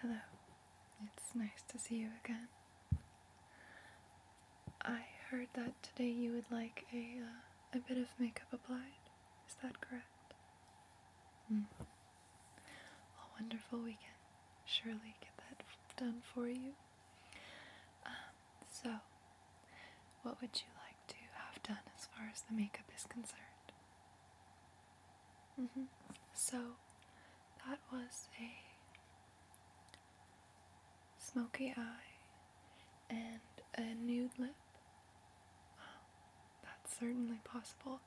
Hello, it's nice to see you again. I heard that today you would like a uh, a bit of makeup applied. Is that correct? Mm. Well, wonderful. We can surely get that done for you. Um, so, what would you like to have done as far as the makeup is concerned? Mm -hmm. So that was a smoky eye and a nude lip. Wow, that's certainly possible.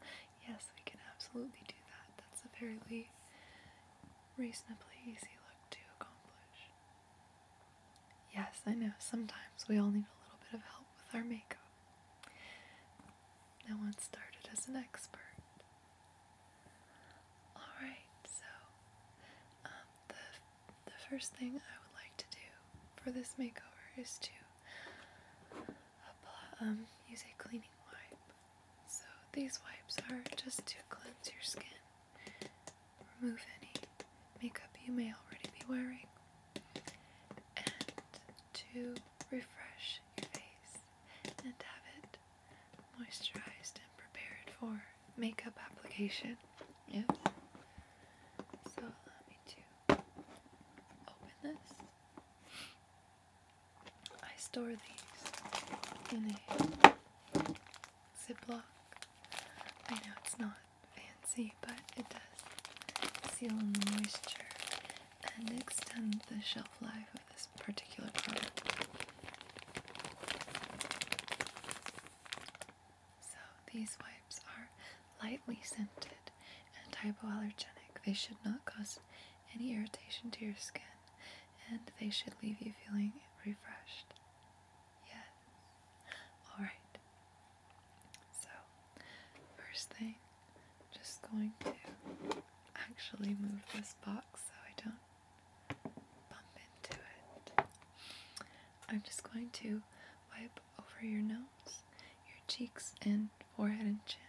Yes, we can absolutely do that. That's a fairly reasonably easy look to accomplish. Yes, I know, sometimes we all need a little bit of help with our makeup. No one started as an expert. Alright, so um, the, the first thing I would like to do for this makeover is to um, use a cleaning wipe. So these wipes are just to cleanse your skin, remove any makeup you may already be wearing, and to refresh your face and have it moisturized and prepared for makeup application. Yep. So let me to open this. I store these in a ziplock. I know it's not fancy, but it does seal in the moisture and extend the shelf life of this particular product. So these wipes are lightly scented and hypoallergenic. They should not cause any irritation to your skin and they should leave you feeling refreshed. Yes. Alright. So, first thing, I'm just going to actually move this box so I don't bump into it. I'm just going to wipe over your nose, your cheeks, and forehead and chin.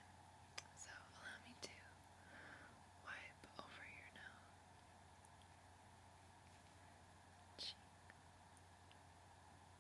So, allow me to wipe over your nose, cheek,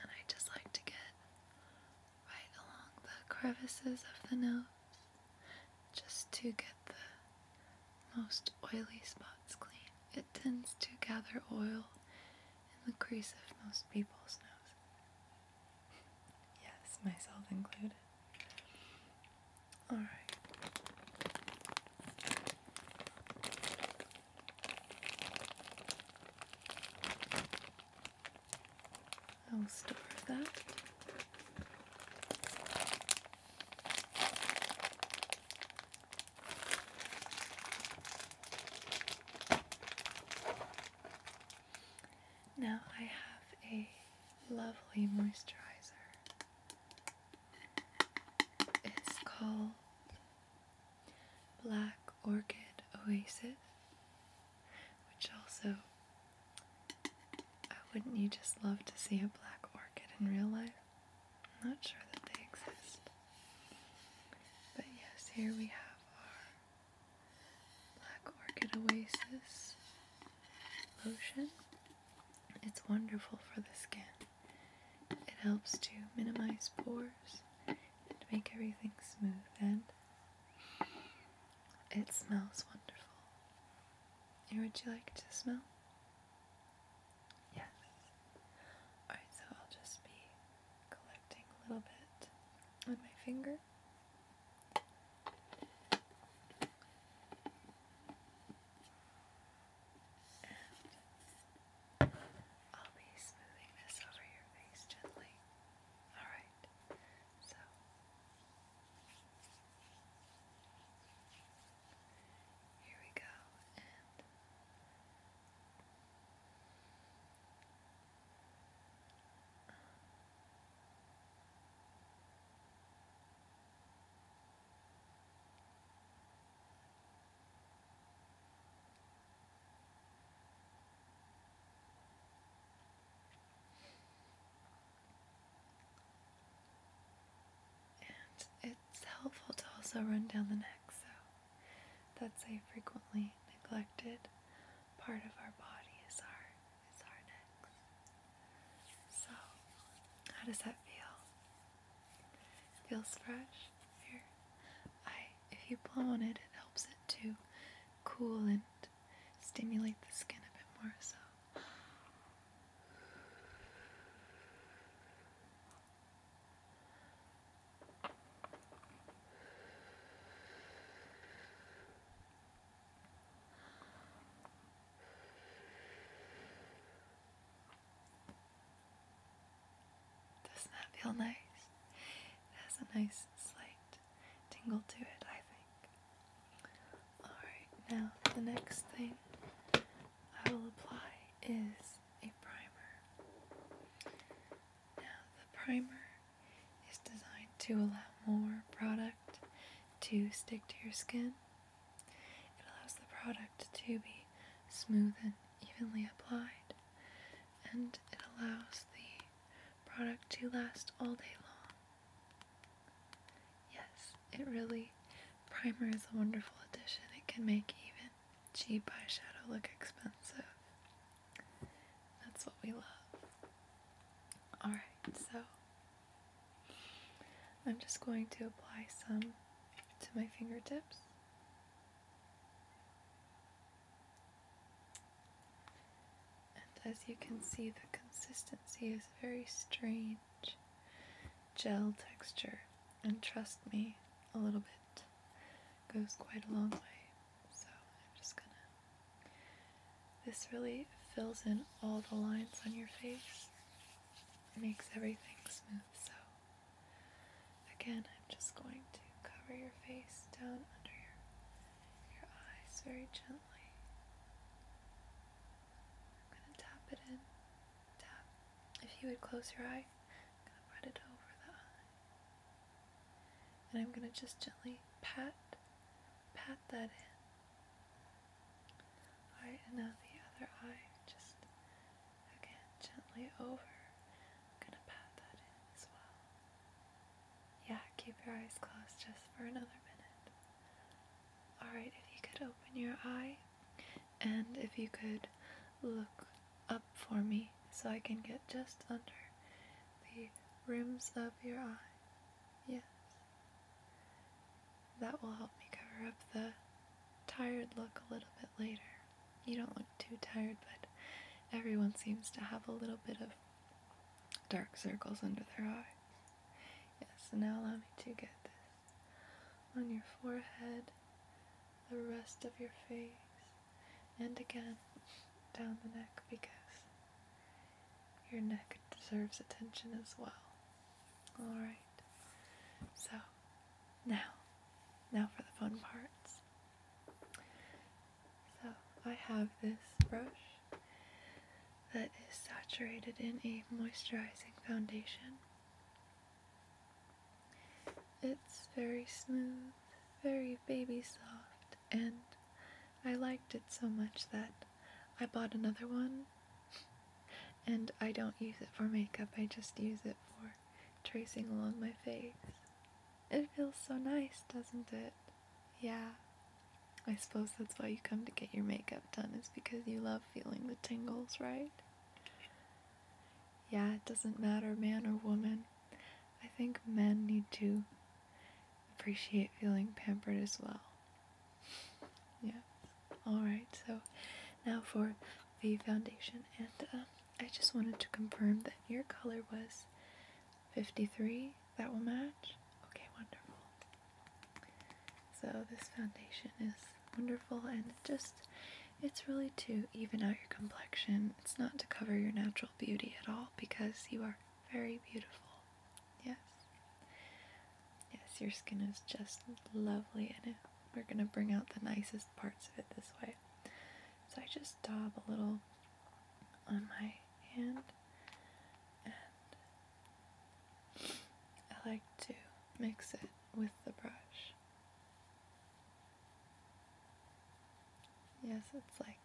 And I just like to get right along the crevices of the nose just to get the most oily spots clean. It tends to gather oil in the crease of most people's nose. yes, myself included. Alright. I'll store that. Now I have a lovely moisturizer it's called Black Orchid Oasis, which also wouldn't you just love to see a black orchid in real life? I'm not sure that they exist. But yes, here we have our Black Orchid Oasis lotion. It's wonderful for the skin. It helps to minimize pores and make everything smooth and it smells wonderful. And would you like to smell? Yes. Alright, so I'll just be collecting a little bit on my finger. I'll be smoothing this over your face gently. Alright, so here we go, um, and it's helpful to also run down the neck, so that's a frequently neglected part of our body is our is our necks. So how does that feel? It feels fresh here. I, if you blow on it, it helps it to cool and stimulate the skin a bit more. So. Doesn't that feel nice? It has a nice slight tingle to it, I think. Alright, now the next thing I will apply is a primer. Now, the primer is designed to allow more product to stick to your skin it allows the product to be smooth and evenly applied, and it allows the product to last all day long. Yes, it really, primer is a wonderful addition. It can make even cheap eyeshadow look expensive. That's what we love. Alright, so I'm just going to apply some to my fingertips. And as you can see, the consistency is very strange gel texture. And trust me, a little bit goes quite a long way. So I'm just gonna. This really fills in all the lines on your face, it makes everything smooth. So. Again, I'm just going to cover your face down under your, eyes very gently. I'm going to tap it in. Tap. If you would close your eye, I'm going to put it over the And I'm going to just gently pat, pat that in. Alright, and now the other eye. Just again gently over. I'm gonna pat that in as well. Yeah, keep your eyes closed just for another minute. Alright, if you could open your eye and if you could look up for me so I can get just under the rims of your eye. Yes that will help me cover up the tired look a little bit later. You don't look too tired, but everyone seems to have a little bit of dark circles under their eyes. Yes, now allow me to get this on your forehead, the rest of your face, and again down the neck because your neck deserves attention as well. Alright, so now, now for the fun parts. So I have this brush that is saturated in a moisturizing foundation. It's very smooth, very baby soft, and I liked it so much that I bought another one and I don't use it for makeup, I just use it for tracing along my face. It feels so nice, doesn't it? Yeah. I suppose that's why you come to get your makeup done, is because you love feeling the tingles, right? Yeah, it doesn't matter, man or woman. I think men need to appreciate feeling pampered as well. Yeah. Alright, so now for the foundation and um, I just wanted to confirm that your color was 53 that will match okay wonderful so this foundation is wonderful and just it's really to even out your complexion it's not to cover your natural beauty at all because you are very beautiful yes yes your skin is just lovely and it we're going to bring out the nicest parts of it this way. So I just dab a little on my hand and I like to mix it with the brush. Yes, it's like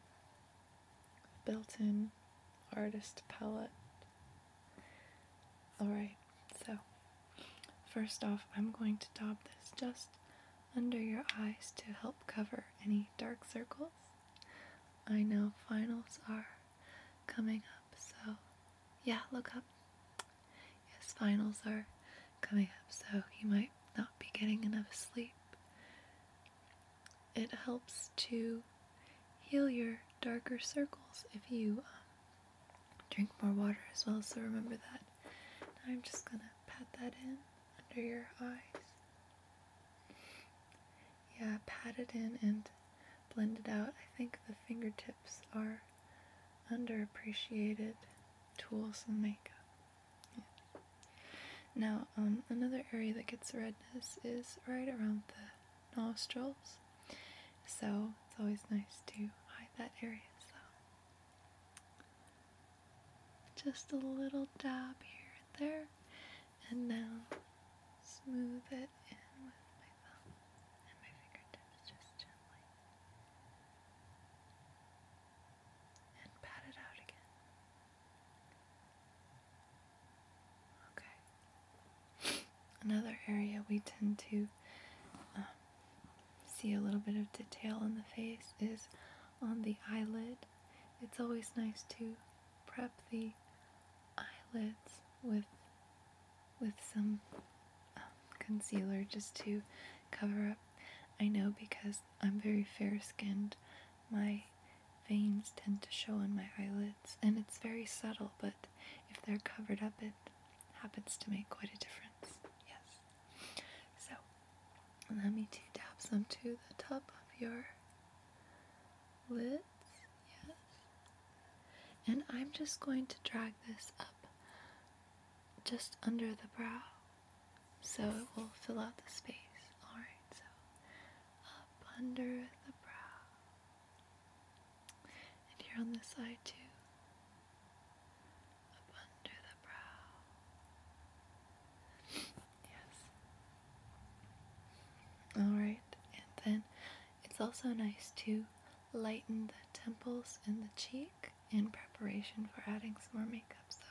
built-in artist palette. Alright, so First off, I'm going to dab this just under your eyes to help cover any dark circles. I know finals are coming up, so yeah, look up. Yes, finals are coming up, so you might not be getting enough sleep. It helps to heal your darker circles if you um, drink more water as well, so remember that. Now I'm just gonna pat that in under your eyes. Yeah, pat it in and blend it out. I think the fingertips are underappreciated tools in makeup. Now, um, another area that gets redness is right around the nostrils. So it's always nice to hide that area. So just a little dab here and there, and now smooth it in with my thumb and my fingertips just gently, and pat it out again. Okay. Another area we tend to um, see a little bit of detail on the face is on the eyelid. It's always nice to prep the eyelids with with some um, concealer just to cover up. I know because I'm very fair skinned, my veins tend to show on my eyelids, and it's very subtle, but if they're covered up, it happens to make quite a difference. Yes. So let me tap some to the top of your lips, Yes. And I'm just going to drag this up just under the brow so it will fill out the space. Alright, so up under the brow and here on this side too, up under the brow. yes. Alright, and then it's also nice to lighten the temples and the cheek in preparation for adding some more makeup. So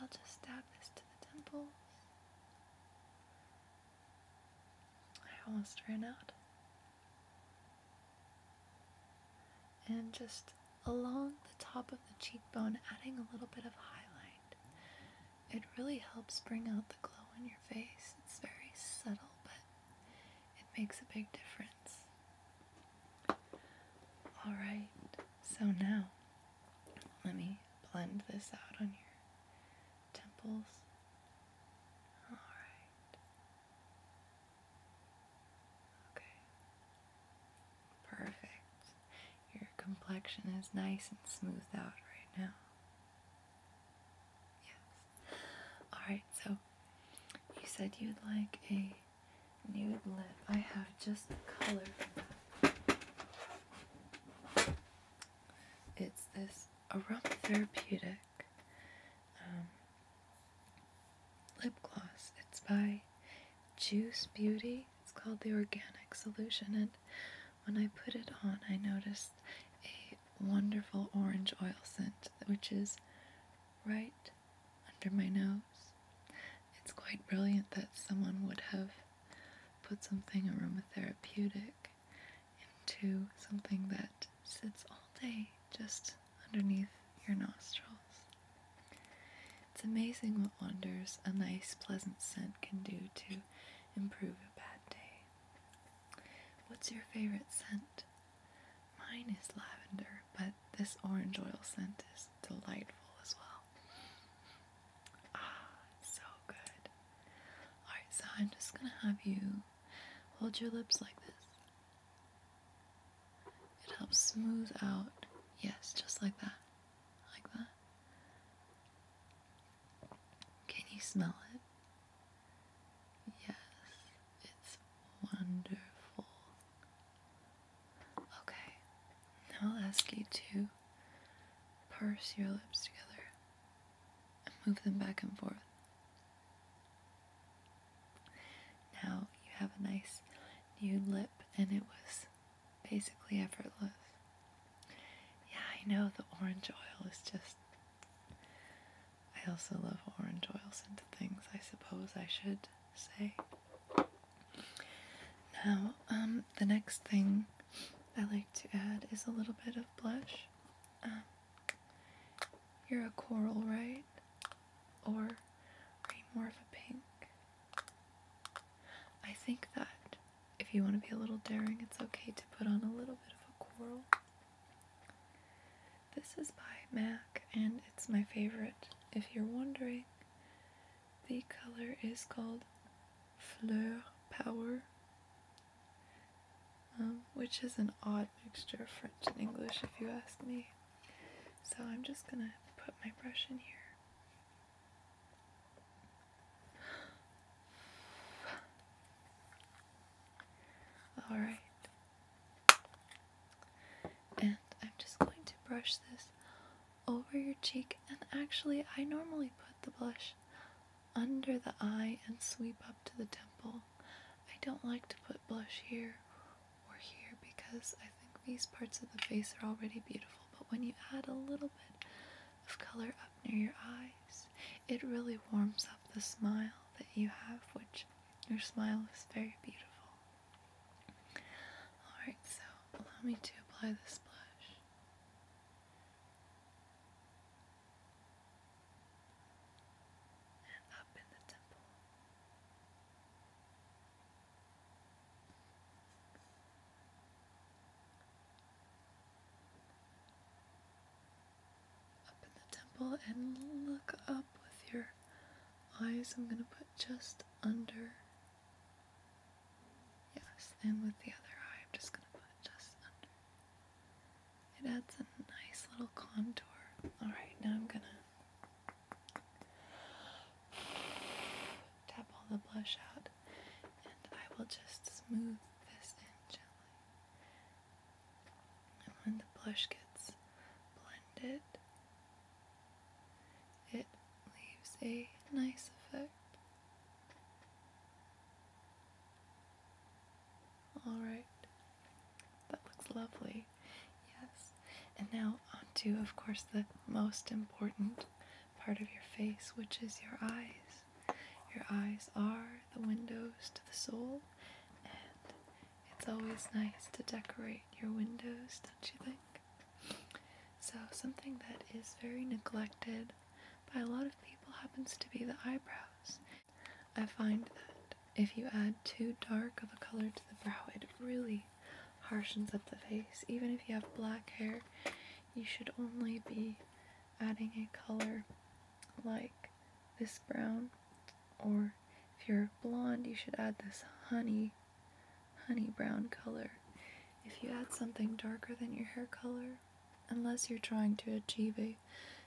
I'll just dab this to the temples. I almost ran out. And just along the top of the cheekbone, adding a little bit of highlight. It really helps bring out the glow on your face. It's very subtle, but it makes a big difference. Alright, so now let me blend this out on your temples. Alright. Okay. Perfect. Your complexion is nice and smoothed out right now. Yes. Alright, so you said you'd like a nude lip. I have just the color It's this aromatherapeutic. Um, lip gloss. It's by Juice Beauty. It's called the Organic Solution, and when I put it on, I noticed a wonderful orange oil scent, which is right under my nose. It's quite brilliant that someone would have put something aromatherapeutic into something that sits all day just underneath your nostrils. It's amazing what wonders a nice, pleasant scent can do to improve a bad day. What's your favorite scent? Mine is lavender, but this orange oil scent is delightful as well. Ah, so good. Alright, so I'm just gonna have you hold your lips like this it helps smooth out, yes, just like that, like that. Can you smell it? Yes, it's wonderful. Okay, now I'll ask you to purse your lips together and move them back and forth. Now you have a nice new lip, and it was basically effortless. Yeah, I know the orange oil is just. I also love orange oils into things, I suppose I should say. Now, um, the next thing I like to add is a little bit of blush. Um, you're a coral, right? Or are you more of a pink? I think that if you want to be a little daring, it's okay to put on a little bit of a coral. This is by MAC and it's my favorite. If you're wondering, the color is called Fleur Power. Um, which is an odd mixture of French and English, if you ask me. So I'm just gonna put my brush in here. Alright. And I'm just going to brush this over your cheek. And actually, I normally put the blush under the eye and sweep up to the temple. I don't like to put blush here or here because I think these parts of the face are already beautiful, but when you add a little bit of color up near your eyes, it really warms up the smile that you have, which your smile is very beautiful. Alright, so allow me to apply this blush up in the temple. Up in the temple and look up with your eyes. I'm going to put just under. Yes, and with the other eye, I'm just going to put just under. It adds a nice little contour. Alright, now I'm gonna tap all the blush out and I will just smooth this in gently. And when the blush gets blended, it leaves a nice effect. Alright, that looks lovely yes. And now onto, of course, the most important part of your face, which is your eyes. Your eyes are the windows to the soul, and it's always nice to decorate your windows, don't you think? So, something that is very neglected by a lot of people happens to be the eyebrows. I find that if you add too dark of a color to the brow, it really harshens up the face. Even if you have black hair, you should only be adding a color like this brown, or if you're blonde, you should add this honey, honey brown color. If you add something darker than your hair color, unless you're trying to achieve a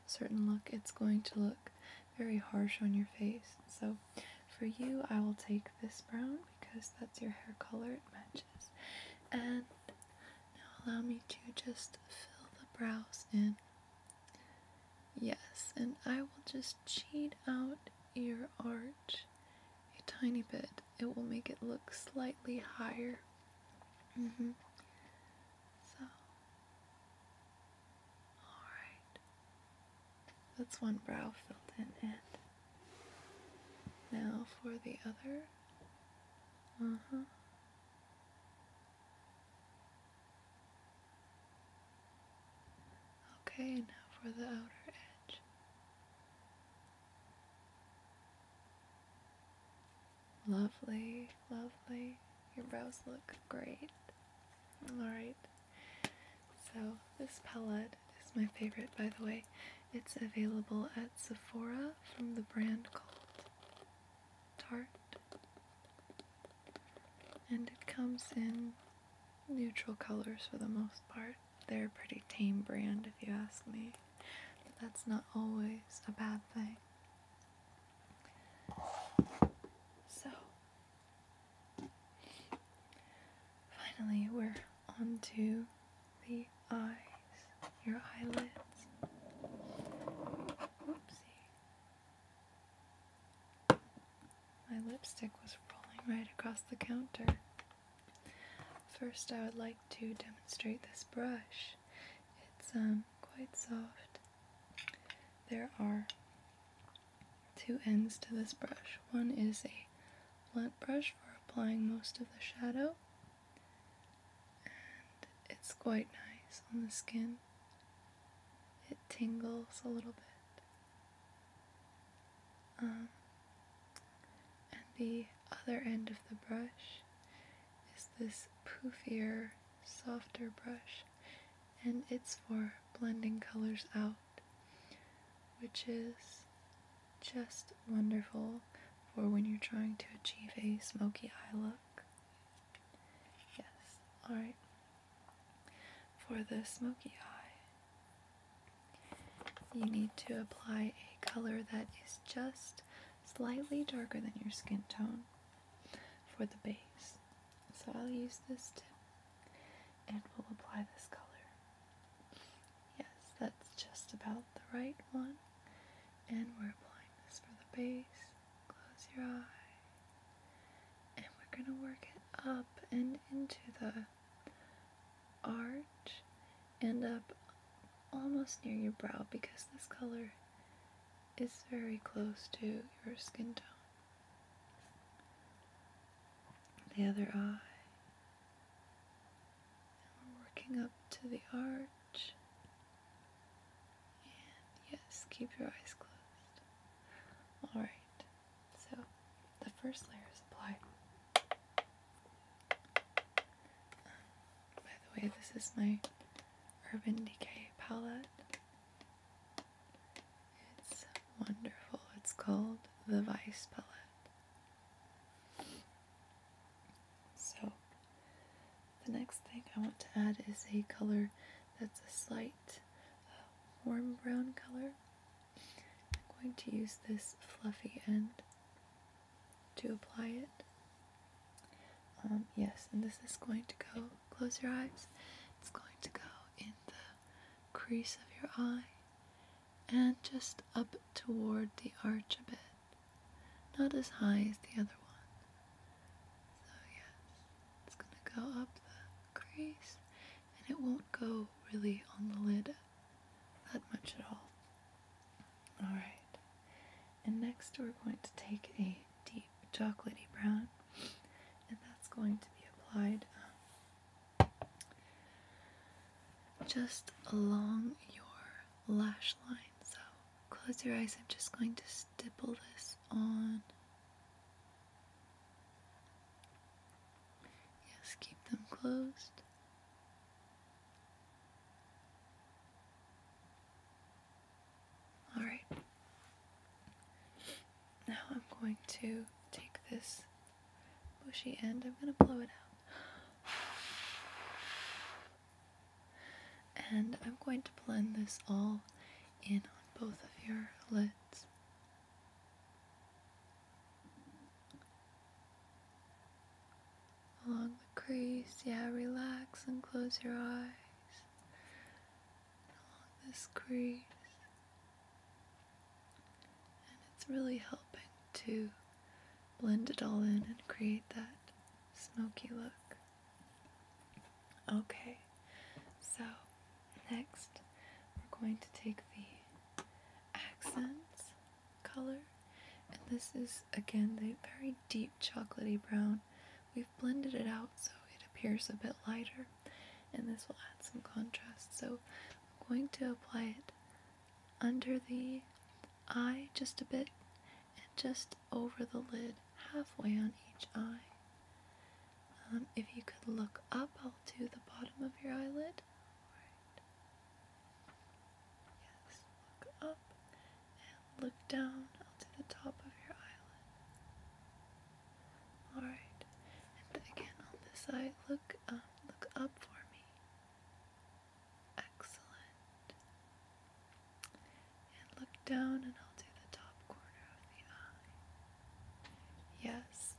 certain look, it's going to look very harsh on your face. So for you, I will take this brown because that's your hair color, it matches. And now allow me to just fill the brows in. Yes, and I will just cheat out your arch a tiny bit. It will make it look slightly higher. Mm -hmm. So Alright. That's one brow filled in and now for the other. Uh-huh. Okay, now for the outer edge. Lovely, lovely. Your brows look great. Alright, so this palette is my favorite by the way. It's available at Sephora from the brand called Tarte. And it comes in neutral colors for the most part. They're a pretty tame brand if you ask me. But that's not always a bad thing. So, Finally, we're on to the eyes, your eyelids. Whoopsie. My lipstick was rolling right across the counter. First, I would like to demonstrate this brush. It's um, quite soft. There are two ends to this brush. One is a blunt brush for applying most of the shadow, and it's quite nice on the skin. It tingles a little bit. Um, and the other end of the brush is this poofier softer brush and it's for blending colors out which is just wonderful for when you're trying to achieve a smoky eye look. Yes, alright. For the smoky eye, you need to apply a color that is just slightly darker than your skin tone for the base. So I'll use this tip and we'll apply this color. Yes, that's just about the right one. And we're applying this for the base. Close your eye. And we're going to work it up and into the arch and up almost near your brow because this color is very close to your skin tone the other eye. we're working up to the arch. yes, keep your eyes closed. Alright, so the first layer is applied. By the way, this is my Urban Decay palette. It's wonderful. It's called the Vice Palette. So, the next thing I want to add is a color that's a slight uh, warm brown color. I'm going to use this fluffy end to apply it. Um, yes, and this is going to go close your eyes. It's going to go in the crease of your eye and just up toward the arch a bit. Not as high as the other one. So, yes, it's going to go up the crease and it won't go really on the lid that much at all. Alright, and next we're going to take a deep chocolatey brown and that's going to be applied um, just along your lash line so close your eyes I'm just going to stipple this on yes keep them closed Alright. Now I'm going to take this bushy end, I'm going to blow it out. And I'm going to blend this all in on both of your lids. Along the crease, yeah, relax and close your eyes along this crease. And it's really helping to blend it all in and create that smoky look. Okay, so next we're going to take the accents color, and this is again the very deep chocolatey brown. We've blended it out so it appears a bit lighter, and this will add some contrast. So I'm going to apply it under the eye just a bit and just over the lid halfway on each eye. Um, if you could look up, I'll do the bottom of your eyelid. Yes, look up and look down. I'll do the top of your eyelid. Alright. And again on this side, look up, um, look up for me. Excellent. And look down and I'll do the top corner of the eye. Yes.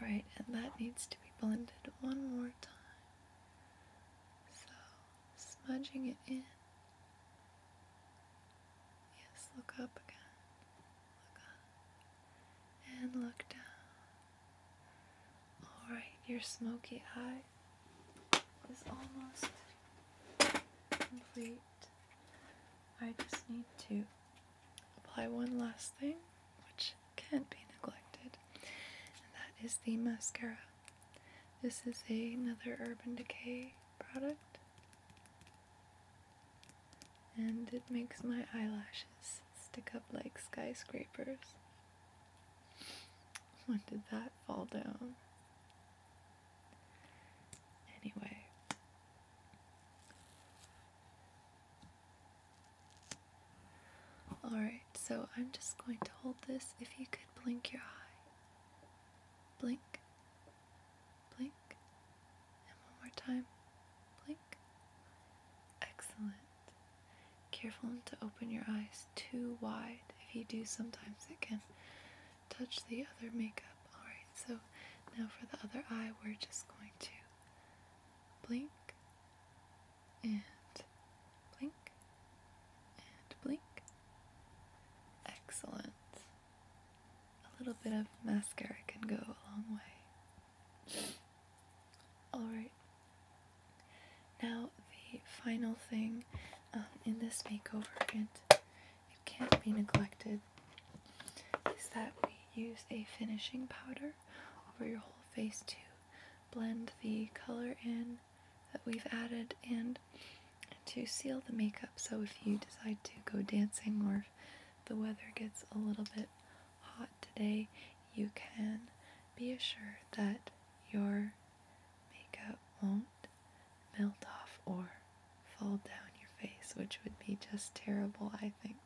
Alright, and that needs to be blended one more time. So, smudging it in Yes, look up again. Look up. And look down. Alright, your smoky eye is almost complete. I just need to apply one last thing, which can't be neglected, and that is the mascara. This is another Urban Decay product and it makes my eyelashes stick up like skyscrapers. When did that fall down? Anyway. Alright, so I'm just going to hold this. If you could blink your eye. Blink, blink, and one more time, blink. Excellent. Careful to open your eyes too wide. If you do, sometimes it can touch the other makeup. Alright, so now for the other eye, we're just going to blink and blink and blink. Excellent a little bit of mascara can go a long way. Alright, now the final thing um, in this makeover, and it can't be neglected, is that we use a finishing powder over your whole face to blend the color in that we've added and to seal the makeup so if you decide to go dancing or the weather gets a little bit hot today, you can be assured that your makeup won't melt off or fall down your face, which would be just terrible, I think.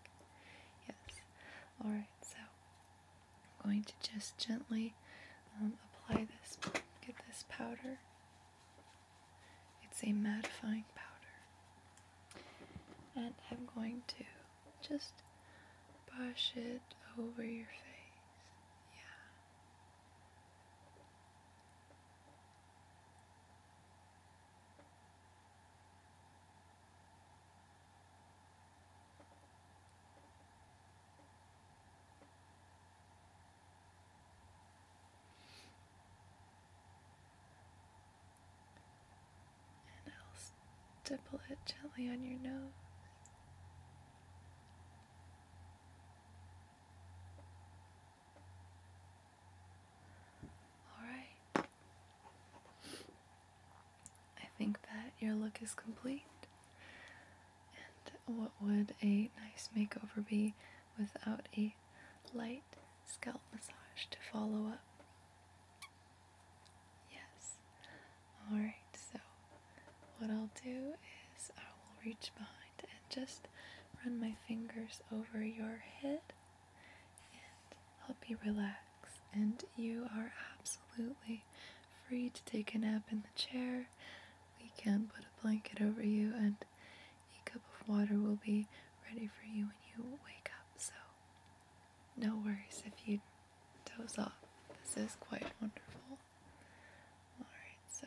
Yes. Alright, so I'm going to just gently um, apply this, get this powder it's a mattifying powder. And I'm going to just brush it over your face. Yeah. And I'll stipple it gently on your nose. All right. I think that your look is complete. And what would a nice makeover be without a light scalp massage to follow up. Yes. Alright, so what I'll do is I will reach behind and just run my fingers over your head and help you relax. And you are absolutely free to take a nap in the chair. We can put a blanket over you and a cup of water will be ready for you when you wake up. So, no worries if you doze off. This is quite wonderful. Alright, so.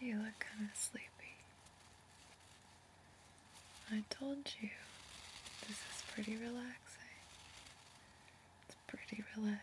You look kind of sleepy. I told you this is pretty relaxing. It's pretty relaxing.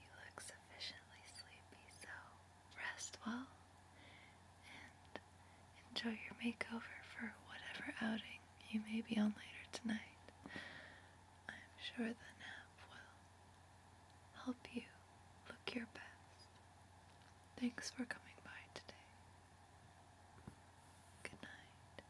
You look sufficiently sleepy, so rest well and enjoy your makeover for whatever outing you may be on later tonight. I'm sure the nap will help you look your best. Thanks for coming by today. Good night.